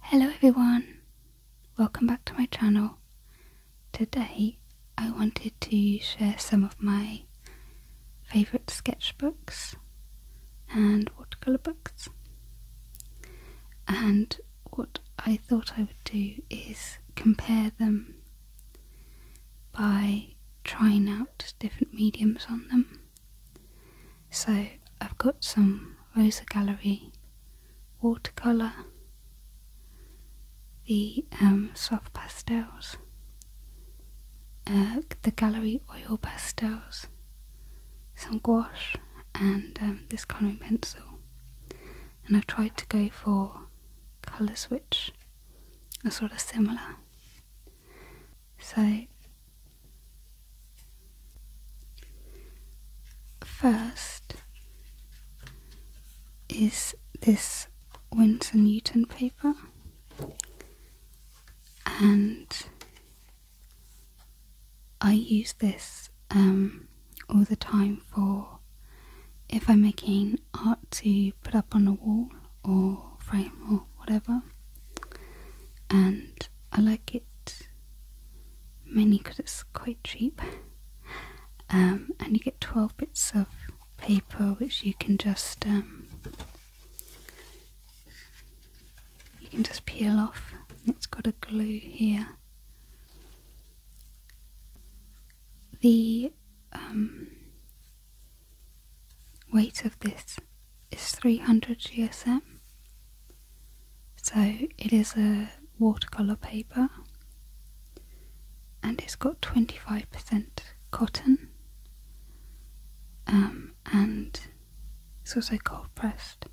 Hello everyone, welcome back to my channel. Today I wanted to share some of my favourite sketchbooks and watercolour books. And what I thought I would do is compare them by trying out different mediums on them so I've got some Rosa Gallery watercolour, the um, soft pastels, uh, the gallery oil pastels, some gouache, and um, this colouring pencil. And I've tried to go for colours which are sort of similar. So First is this Winsor Newton paper and I use this um, all the time for if I'm making art to put up on a wall or frame or whatever and I like it mainly because it's quite cheap. Um, and you get 12 bits of paper which you can just um, you can just peel off. It's got a glue here. The um, weight of this is 300 GSM so it is a watercolour paper and it's got 25% cotton um, and it's also cold pressed.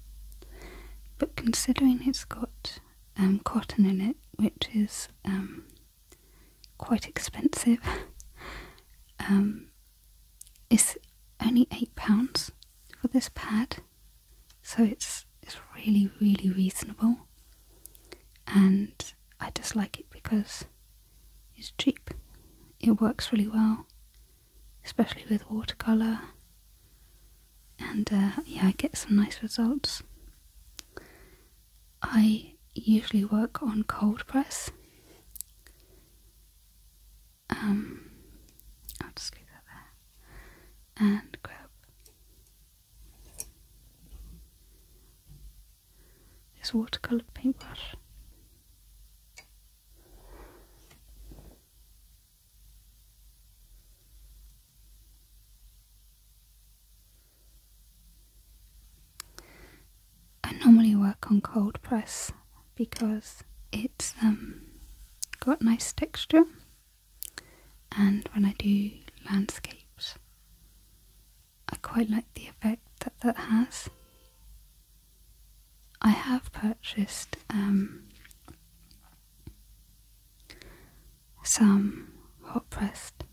But considering it's got um, cotton in it, which is um, quite expensive, it's only £8 for this pad so it's it's really really reasonable and I just like it because it's cheap it works really well especially with watercolor and uh, yeah I get some nice results I usually work on cold press um, I'll just leave that there. And grab. This watercolor paintbrush. I normally work on cold press because it's um, got nice texture and when I do landscapes I quite like the effect that that has. I have purchased um, some hot pressed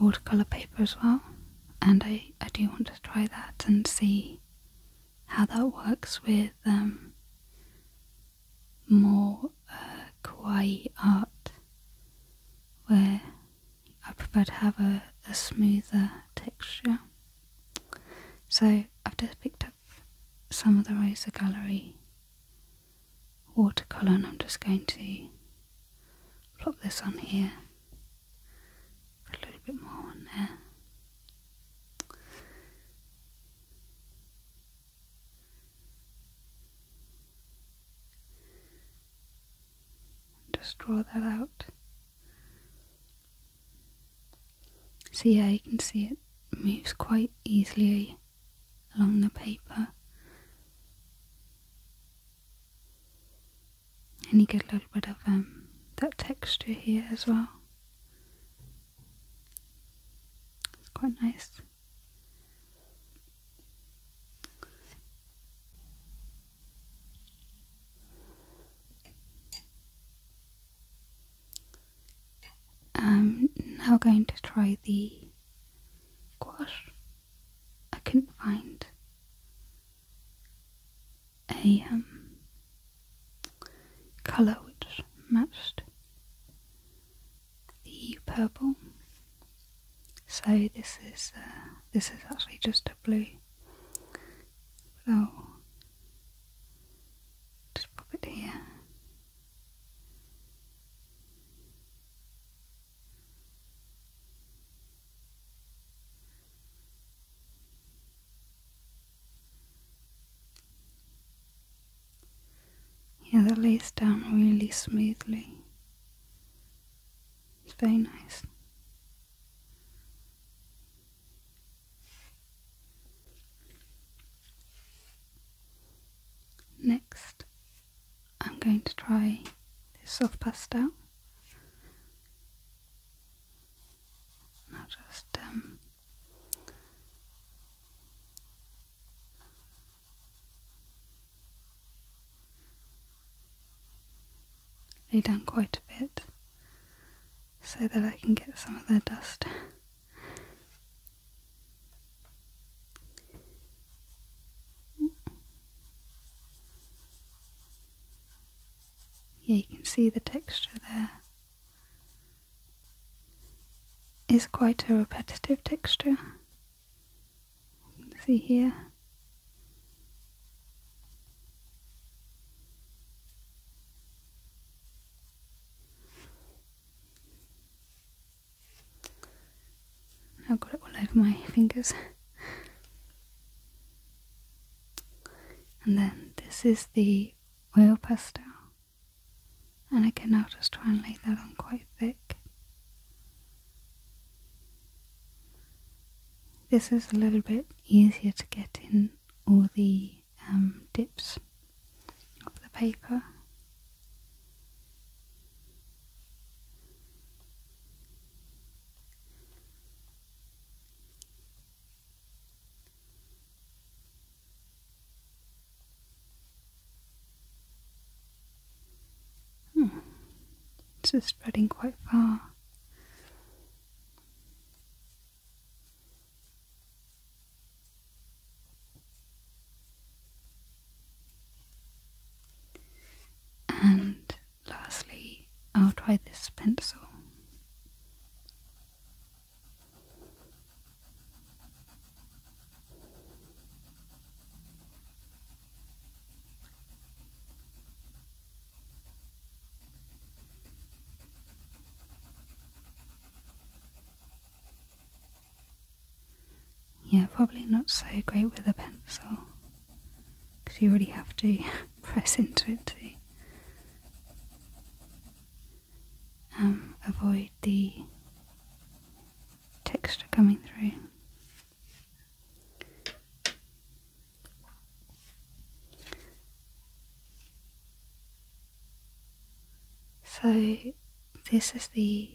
watercolour paper as well and I, I do want to try that and see how that works with um, more uh, kawaii art, where I prefer to have a, a smoother texture. So I've just picked up some of the Rosa Gallery watercolour and I'm just going to plop this on here a little bit more on there. Just draw that out. So yeah, you can see it moves quite easily along the paper. And you get a little bit of um, that texture here as well. It's quite nice. I'm now going to try the gouache. I couldn't find a colour which matched the purple. So this is uh, this is actually just a blue. But just pop it here. Yeah, that lays down really smoothly. It's very nice. Next, I'm going to try this soft pastel. Now just um, lay down quite a bit so that I can get some of the dust. Yeah, you can see the texture there. Is quite a repetitive texture. see here. I've got it all over my fingers. And then this is the oil pastel. And again, I'll just try and lay that on quite thick. This is a little bit easier to get in all the um, dips of the paper. Hmm. This is spreading quite far. And lastly, I'll try this pencil. Yeah, probably not so great with a pencil because you really have to press into it to um, avoid the texture coming through. So this is the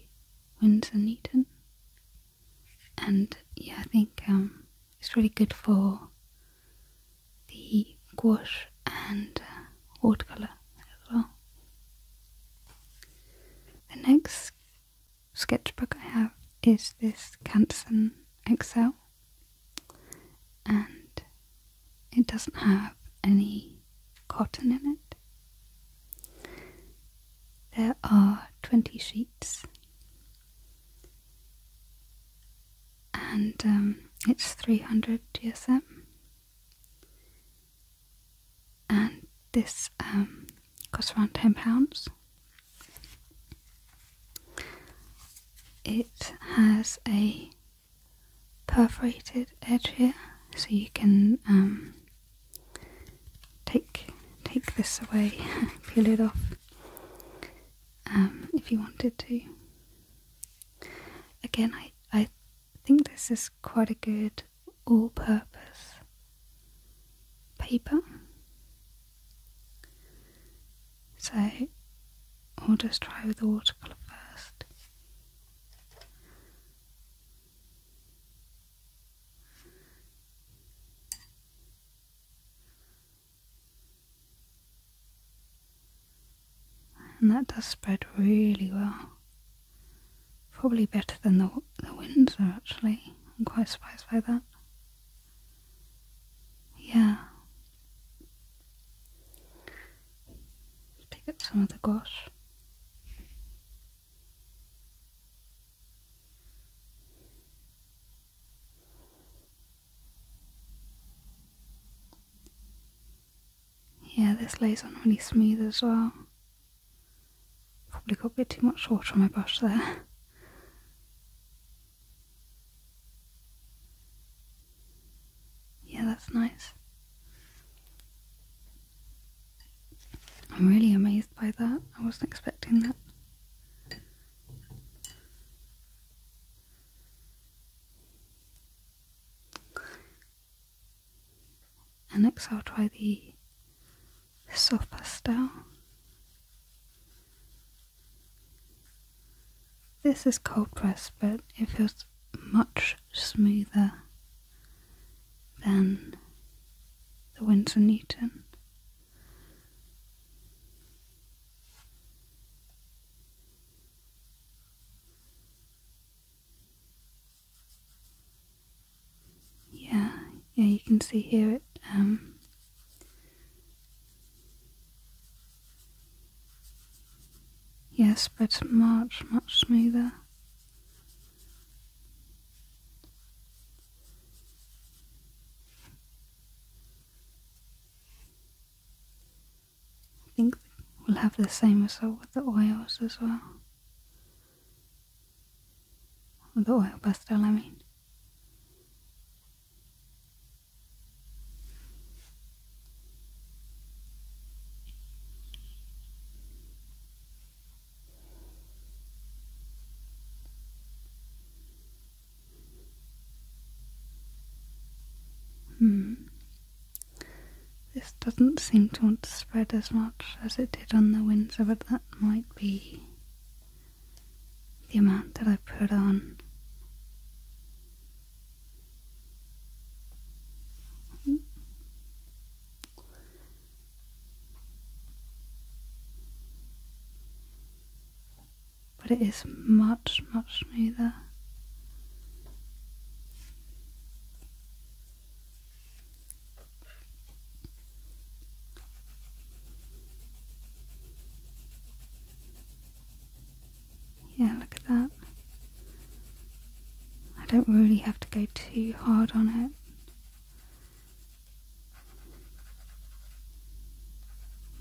Windsor Newton, and yeah, I think um, it's really good for the gouache and uh, watercolour as well. The next sketchbook I have is this Canson Excel and it doesn't have any cotton in it. There are 20 sheets and um, it's 300 GSM. And this um, costs around £10. It has a perforated edge here, so you can um, take take this away, peel it off, um, if you wanted to. Again, I, I think this is quite a good all purpose paper. So i will just try with the watercolour first. And that does spread really well. Probably better than the, the are actually. I'm quite surprised by that. Yeah. Pick up some of the gosh. Yeah, this lays on really smooth as well. Probably got a bit too much water on my brush there. Yeah, that's nice. I'm really amazed by that. I wasn't expecting that. And next I'll try the soft pastel. This is cold pressed, but it feels much smoother than the Winsor Newton. Yeah, yeah, you can see here it um, yes, but much, much smoother. I think we'll have the same result with the oils as well. The oil pastel, I mean. Hmm. This doesn't seem to want to spread as much as it did on the Windsor, but that might be the amount that I put on but it is much, much smoother. Yeah, look at that. I don't really have to go too hard on it.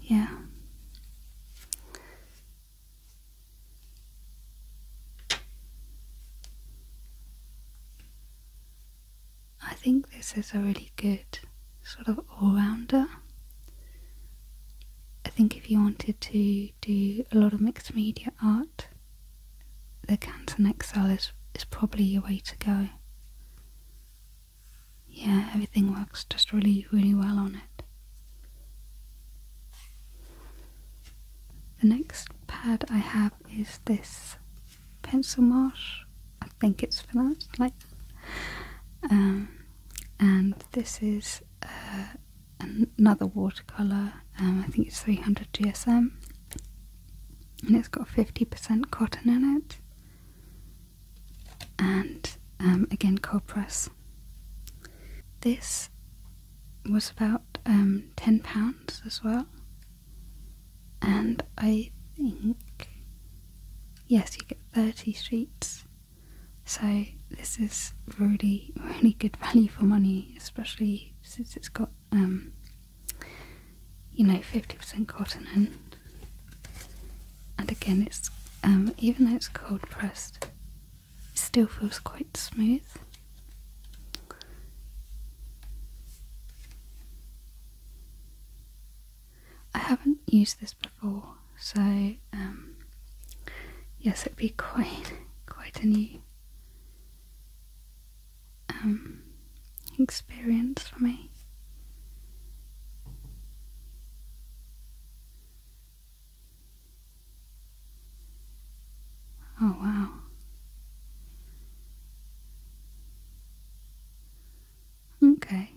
Yeah. I think this is a really good sort of all rounder. I think if you wanted to do a lot of mixed media art, the Canton Excel is, is probably your way to go yeah, everything works just really, really well on it. The next pad I have is this pencil marsh. I think it's pronounced like um, and this is uh, another watercolor. Um, I think it's 300 GSM, and it's got 50% cotton in it and um, again copras. This was about um, ten pounds as well, and I think yes, you get thirty sheets. So this is really really good value for money, especially since it's got um, you know fifty percent cotton and and again it's um, even though it's cold pressed it still feels quite smooth I haven't used this before so um, yes it'd be quite quite a new um, experience for me Oh, wow. Okay,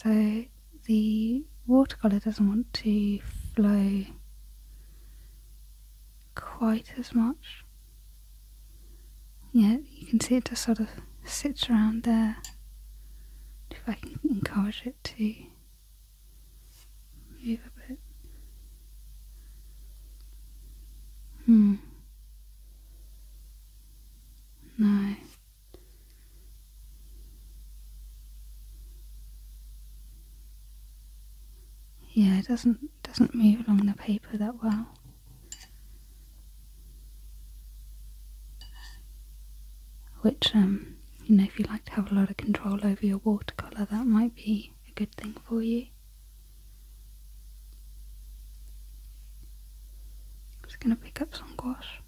so the watercolour doesn't want to flow quite as much. Yeah, you can see it just sort of sits around there if I can encourage it to move a bit. Hmm. No. Yeah, it doesn't doesn't move along the paper that well. Which, um, you know, if you like to have a lot of control over your watercolour, that might be a good thing for you. I'm just going to pick up some gouache.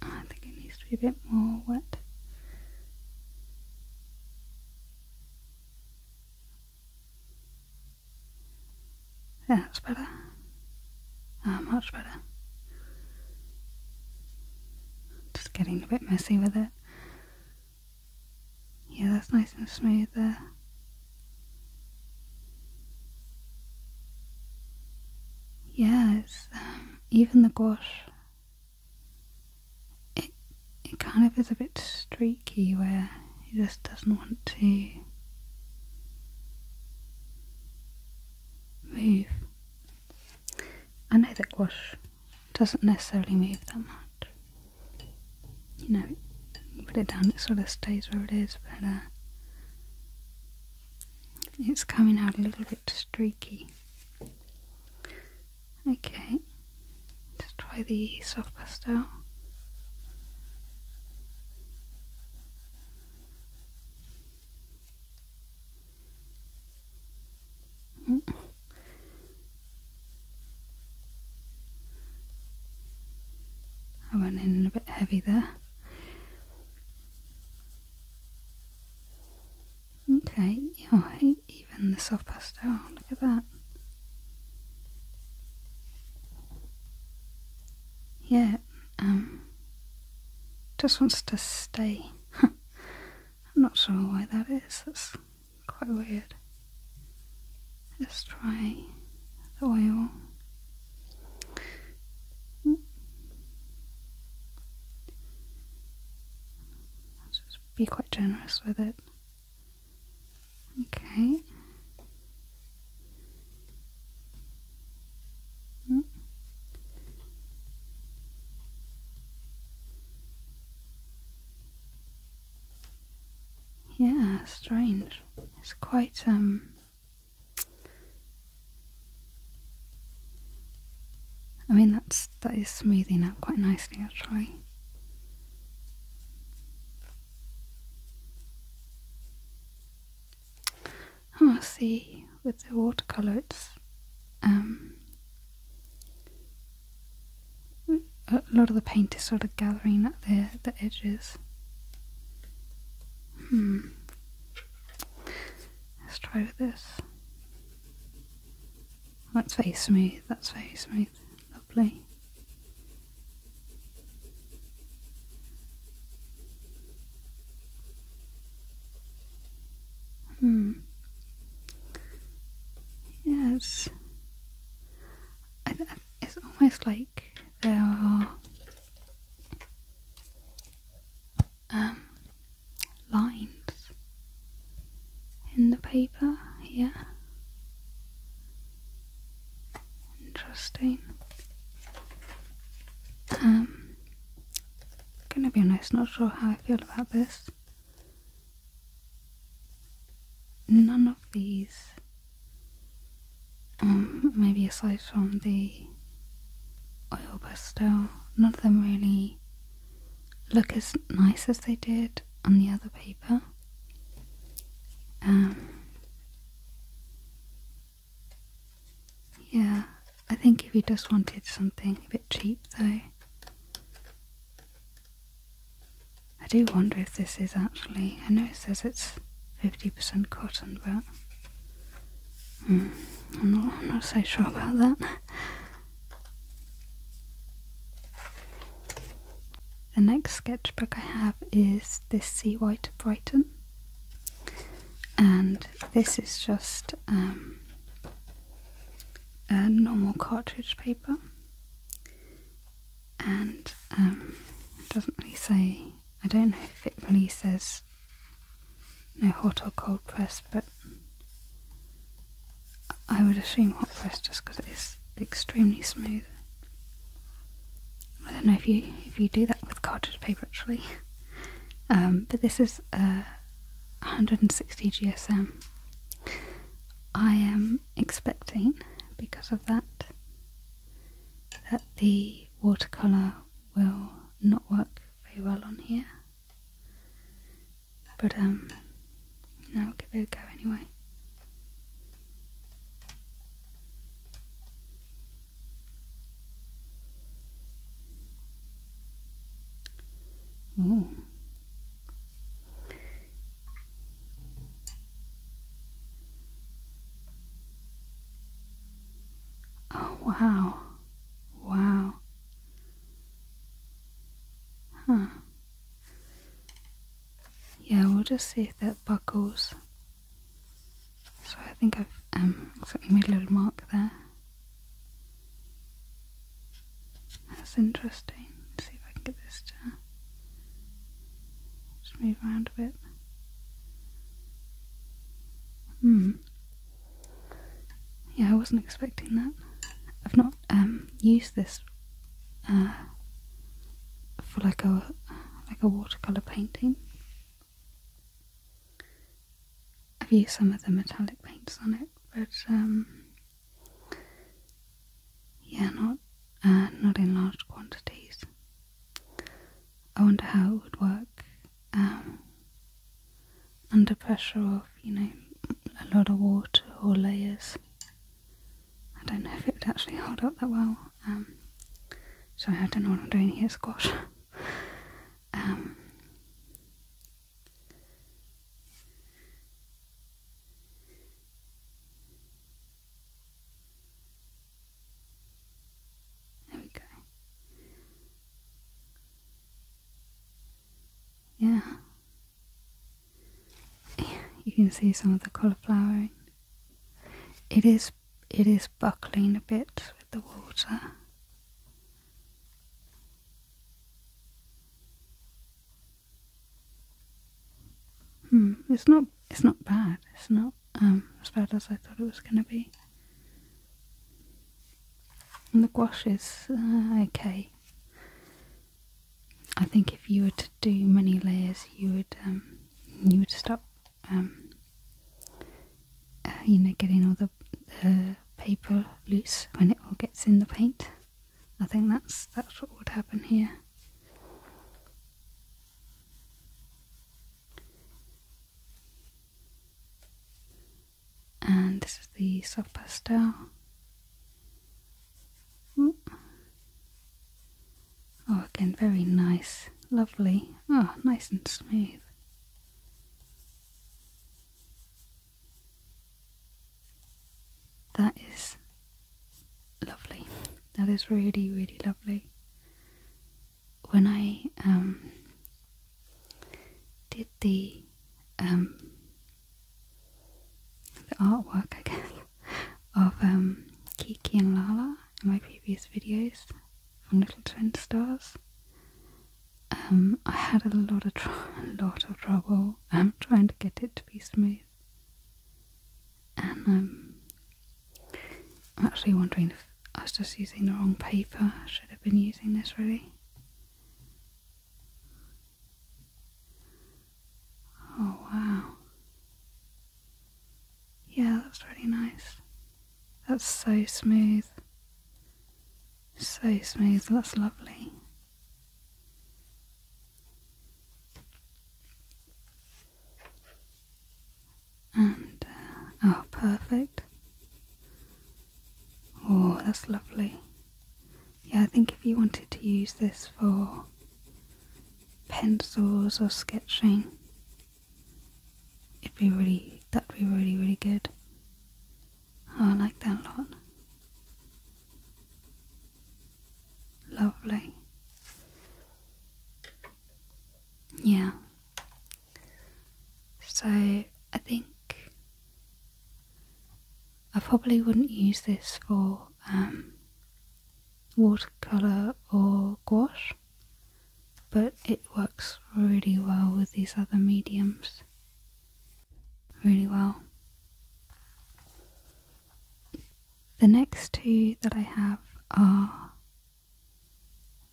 I think it needs to be a bit more wet. Yeah, that's better. Ah, much better. Just getting a bit messy with it. Yeah, that's nice and smooth there. Yes, um, even the gouache it kind of is a bit streaky where he just doesn't want to move. I know that gouache doesn't necessarily move that much. You know, you put it down, it sort of stays where it is, but uh, it's coming out a little bit streaky. Okay, let's try the soft pastel. I mm. went in a bit heavy there. Okay, yeah, even the soft pastel. Look at that. Yeah, um, just wants to stay. I'm not sure why that is. That's quite weird. Let's try the oil. Hmm. Let's just be quite generous with it. Okay. Mm. Yeah, strange. It's quite um, I mean that's that is smoothing out quite nicely actually. Oh, see, with the watercolor, it's um, a lot of the paint is sort of gathering at the the edges. Hmm. Let's try with this. That's very smooth. That's very smooth. Lovely. Hmm. Yes. Uh, it's almost like there are um, lines in the paper here. Interesting. Um, gonna be honest, not sure how I feel about this. None of these, um, maybe aside from the oil pastel, none of them really look as nice as they did on the other paper. Um, yeah, I think if you just wanted something a bit cheap though. I do wonder if this is actually, I know it says it's 50% cotton, but hmm, I'm not so sure about that. The next sketchbook I have is this Sea White Brighton, and this is just um, a normal cartridge paper, and um, it doesn't really say. I don't know if it really says no hot or cold press, but I would assume hot press just because it is extremely smooth. I don't know if you if you do that with cartridge paper actually, um, but this is uh, 160 GSM. I am expecting because of that that the watercolor will not work very well on here. But, um, you know, I'll give it a go anyway. Ooh. Oh, wow. Wow. Huh. Yeah, we'll just see if that buckles. So I think I've um, made a little mark there. That's interesting. Let's see if I can get this to just move around a bit. Hmm. Yeah, I wasn't expecting that. I've not um, use this uh, for like a like a watercolor painting. I've used some of the metallic paints on it, but um, yeah, not uh, not in large quantities. I wonder how it would work um, under pressure of you know a lot of water or layers. I don't know if it would actually hold up that well. Um, sorry, I don't know what I'm doing here, squash. Um, there we go. Yeah, you can see some of the cauliflower. It is it is buckling a bit with the water. Hmm, it's not it's not bad. It's not um, as bad as I thought it was going to be. And the gouache is uh, okay. I think if you were to do many layers, you would um, you would stop um, uh, you know getting all the, the paper loose when it all gets in the paint. I think that's that's what would happen here. And this is the soft pastel. Hmm. Oh, again, very nice, lovely. Oh, nice and smooth. That is lovely. That is really, really lovely. When I um, did the um, the artwork, I guess, of um, Kiki and Lala in my previous videos from Little Twin Stars. Um, I had a lot of a lot of trouble um, trying to get it to be smooth, and um, I'm actually wondering if I was just using the wrong paper. I should have been using this really. Oh, wow. Yeah, that's really nice. That's so smooth. So smooth, that's lovely. And, uh, oh, perfect. Oh, that's lovely yeah, I think if you wanted to use this for pencils or sketching, it'd be really, that'd be really, really good. Oh, I like that a lot. Lovely. Yeah. So I think I probably wouldn't use this for um, watercolour or gouache, but it works really well with these other mediums. Really well. The next two that I have are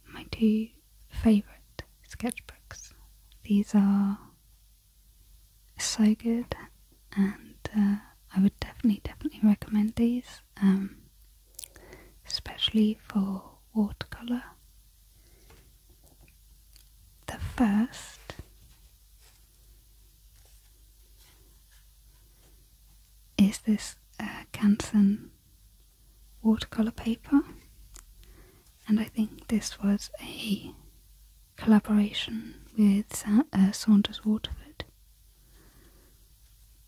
my two favourite sketchbooks. These are so good and uh, I would definitely definitely recommend these um, especially for watercolour the first is this uh, watercolour paper and I think this was a collaboration with uh, Saunders Waterford.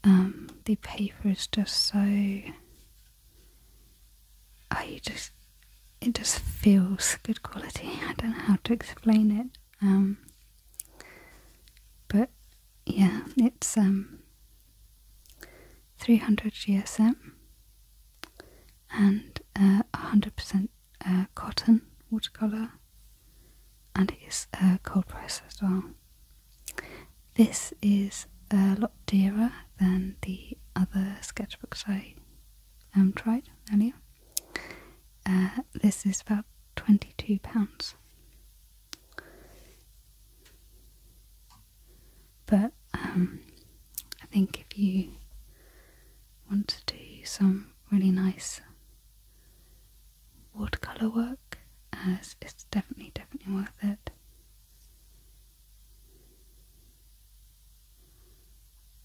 Um, the paper is just so. I just. It just feels good quality. I don't know how to explain it. Um, but yeah, it's um, 300 GSM and uh, 100% cotton watercolor, and it is a cold press as well. This is a lot dearer than the other sketchbooks I um, tried earlier. Uh, this is about £22. But um, I think if you want to do some really nice watercolour work as it's definitely, definitely worth it.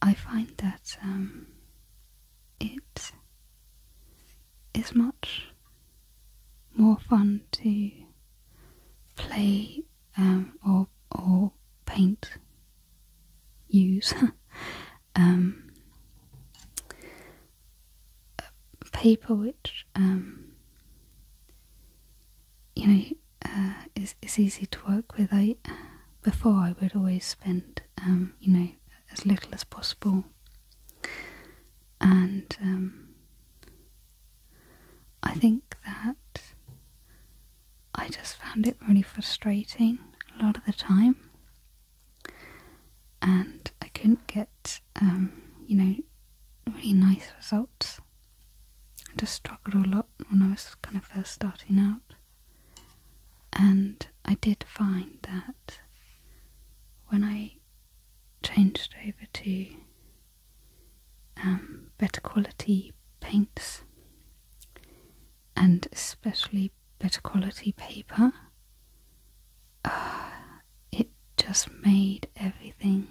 I find that um, it is much more fun to play um, or or paint use um, paper which um, you know uh, is, easy to work with. I before I would always spend um, you know as little as possible and I think that I just found it really frustrating a lot of the time, and I couldn't get, um, you know, really nice results. I just struggled a lot when I was kind of first starting out, and I did find that when I changed over to um, better quality paints, and especially better quality paper, uh, it just made everything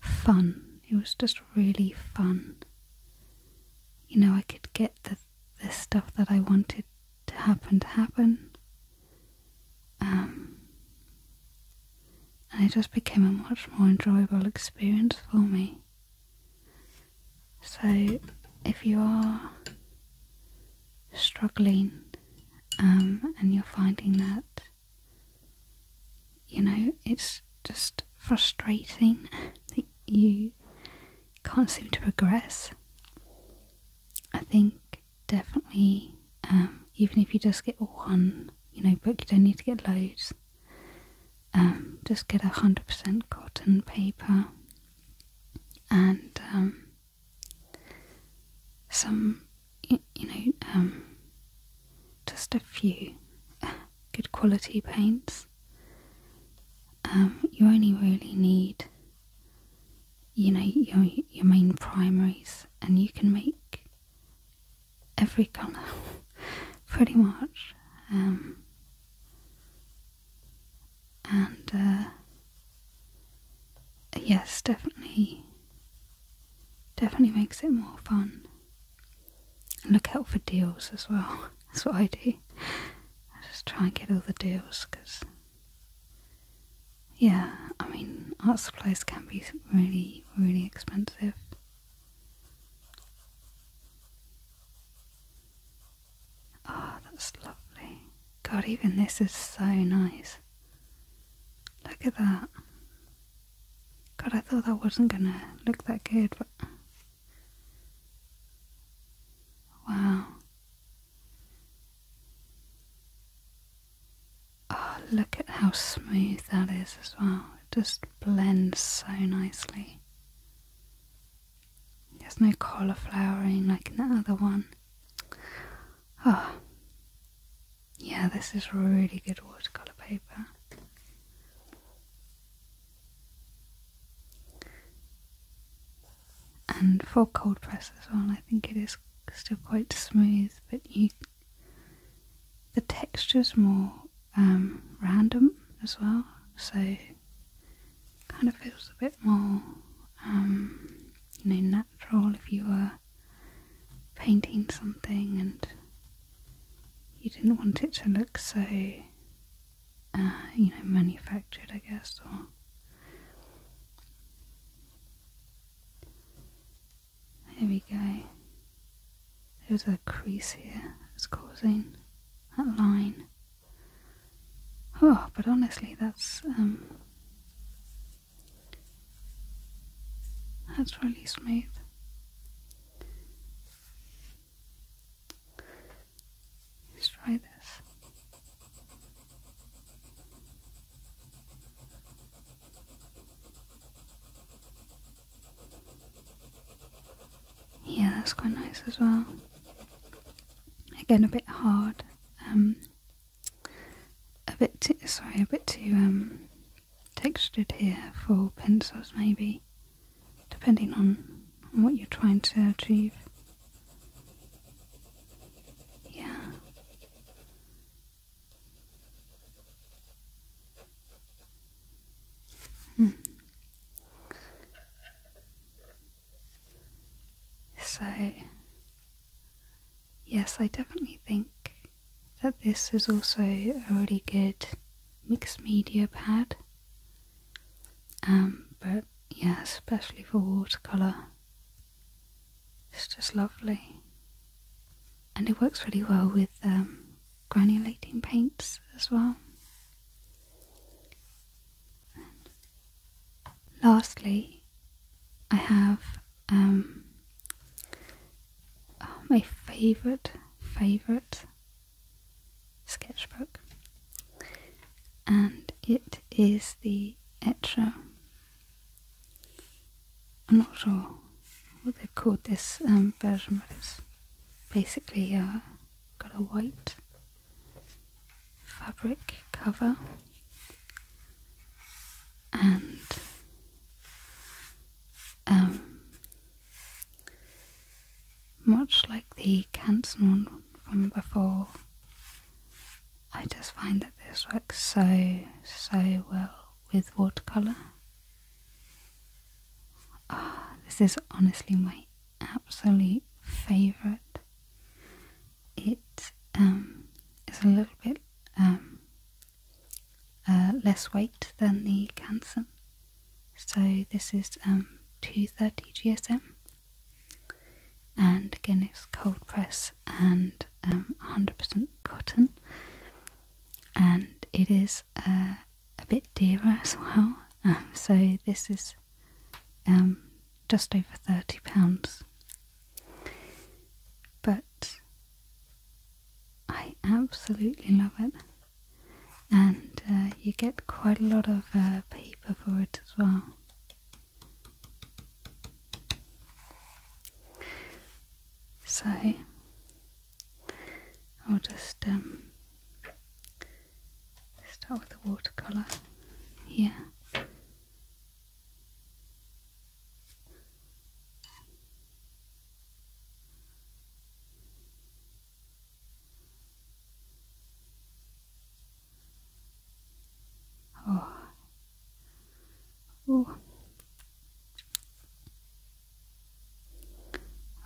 fun. It was just really fun. You know, I could get the, the stuff that I wanted to happen to happen. Um, and it just became a much more enjoyable experience for me. So, if you are struggling um, and you're finding that, you know, it's just frustrating that you can't seem to progress, I think definitely, um, even if you just get one, you know, book, you don't need to get loads. Um, just get a hundred percent cotton paper and um, some, you, know, um, just a few good quality paints. you only really need, you know, your your main primaries, and you can make every colour pretty much. And uh, yes, definitely, definitely makes it more fun. Look out for deals as well. That's what I do. I just try and get all the deals because, yeah, I mean, art supplies can be really, really expensive. Ah, oh, that's lovely. God, even this is so nice. Look at that. God, I thought that wasn't gonna look that good, but. Wow. Oh, look at how smooth that is as well just blends so nicely. There's no cauliflowering like in that other one. Oh, yeah, this is really good watercolour paper. And for cold press as well, I think it is still quite smooth, but you the texture's more um, random as well, so kind of feels a bit more um, you know natural if you were painting something and you didn't want it to look so uh, you know manufactured I guess or there we go there's a crease here that's causing that line. Oh, but honestly, that's um, that's really smooth. Let's try this. Yeah, that's quite nice as well. Again, a bit hard, um, a bit too, sorry, a bit too um, textured here for pencils, maybe, depending on, on what you're trying to achieve. Yeah. Hmm. So, yes, I definitely think that this is also a really good mixed media pad. Um, but yeah, especially for watercolour, it's just lovely. And it works really well with um, granulating paints as well. lastly, I have um, oh, my favourite, favourite sketchbook, and it is the Etro. I'm not sure what they call this um, version, but it's basically uh, got a white fabric cover and um, much like the Canson one from before, I just find that this works so so well with watercolour. Ah, this is honestly my absolute favorite. It um, is a little bit um, uh, less weight than the Canson. So this is um, 230 GSM, and again it's cold press and 100% cotton, and it is uh, a bit dearer as well. Um, so this is um, just over thirty pounds, but I absolutely love it, and uh, you get quite a lot of uh, paper for it as well. So I'll just um, start with the watercolour here. Oh. Oh.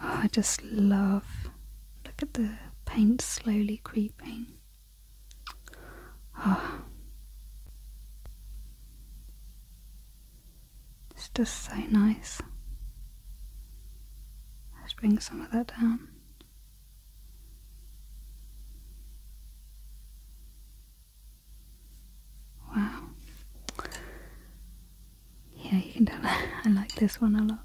Oh, I just love. Look at the paint slowly creeping. Oh. It's just so nice. Let's bring some of that down. Wow. Yeah, you can tell I like this one a lot.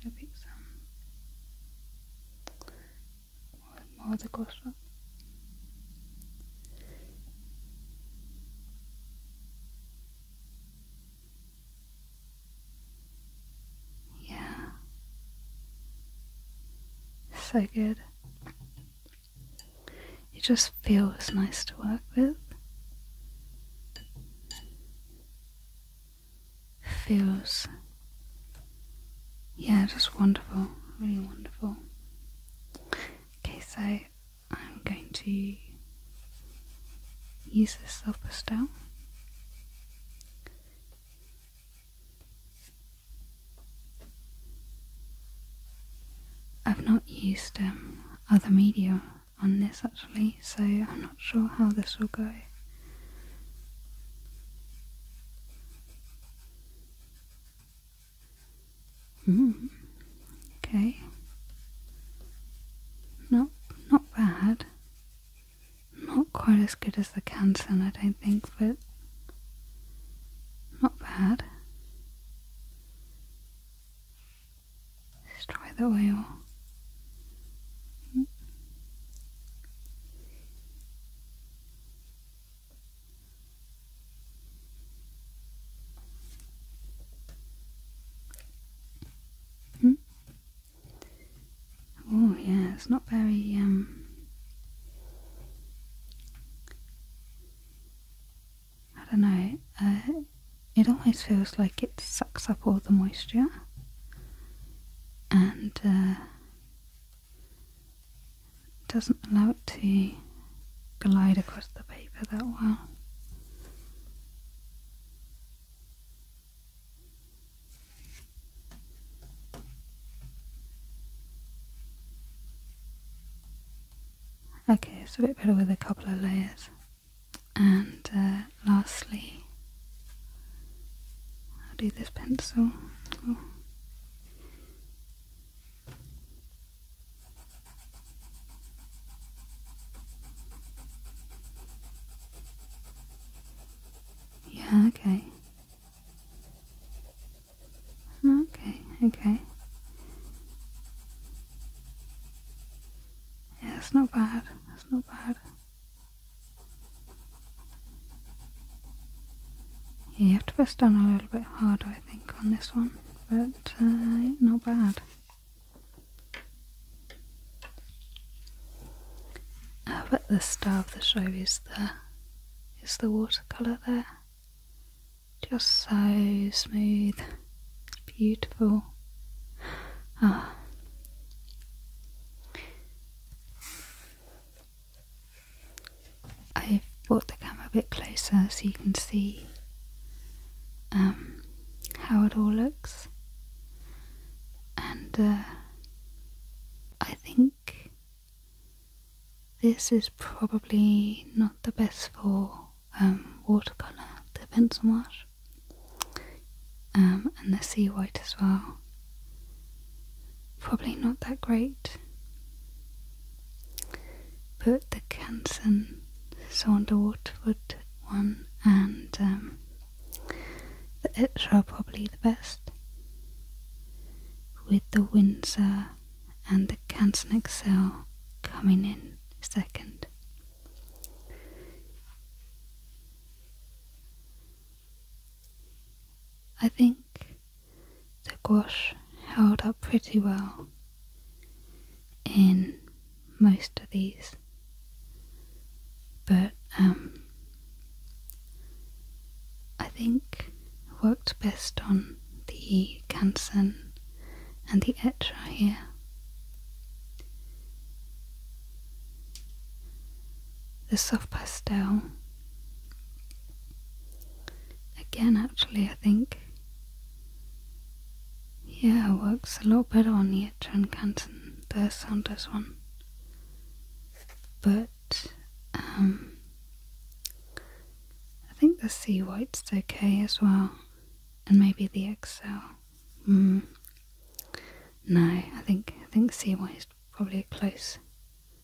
Can I more, more the yeah. So good. It just feels nice to work with. Feels, yeah, just wonderful, really wonderful. Okay, so I'm going to use this up as I've not used um, other media on this actually, so I'm not sure how this will go. Mm, okay. Not not bad. Not quite as good as the Canson, I don't think, but not bad. Let's try the oil. Mm. Hmm? Oh yeah, it's not very um, I don't know. Uh, it always feels like it sucks up all the moisture and uh, doesn't allow it to glide across the paper that well. Okay, it's a bit better with a couple of layers. And uh, lastly, I'll do this pencil. Yeah, okay. Okay, okay. Yeah, it's not bad. It's not bad. Yeah, you have to press down a little bit harder, I think, on this one but uh, not bad. I bet the star of the show is the is the watercolour there. Just so smooth, beautiful. Ah. I've brought the camera a bit closer so you can see um, how it all looks. And uh, I think this is probably not the best for um, watercolour, the pencil wash, um, and the sea white as well. Probably not that great put the Kansan Sonderwort wood one and um, the the are probably the best with the Windsor and the Kansan Excel coming in second. I think the gouache held up pretty well in most of these but um, I think worked best on the Kansen and the Etra here the soft pastel again actually I think. Yeah, works a lot better on the Etran Canton, the Saunders one. But um, I think the Sea White's okay as well, and maybe the XL. Hmm. No, I think I think Sea White's probably a close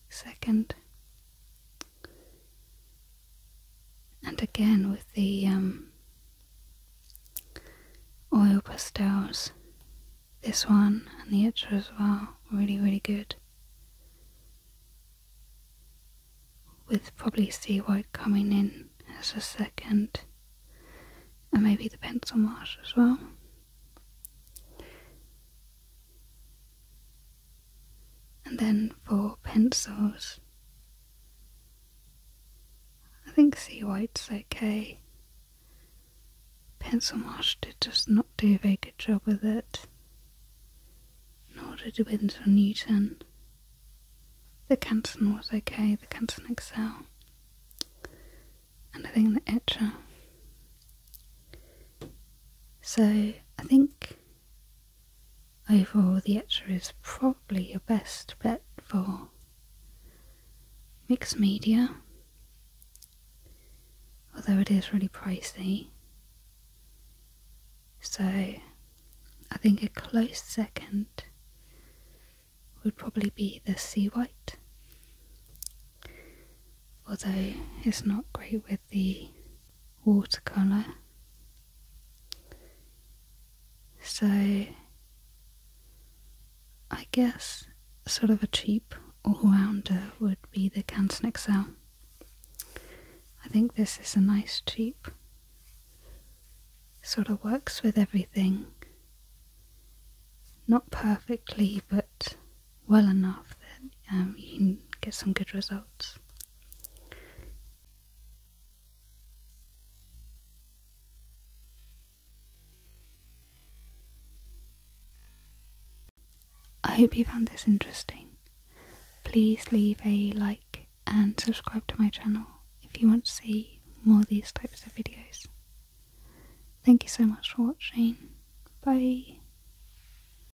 second and again with the um, oil pastels this one and the other as well really really good with probably sea white coming in as a second and maybe the pencil wash as well and then for pencils. I think C white's okay. Pencil Marsh did just not do a very good job with it, nor did Winsor Newton. The Canton was okay, the Canton Excel, and I think the Etcher. So I think Overall, the etcher is probably your best bet for mixed media, although it is really pricey. So, I think a close second would probably be the sea white, although it's not great with the watercolour. So, I guess sort of a cheap all rounder would be the Canson XL. I think this is a nice cheap, sort of works with everything. Not perfectly, but well enough that um, you can get some good results. I hope you found this interesting. Please leave a like and subscribe to my channel if you want to see more of these types of videos. Thank you so much for watching. Bye.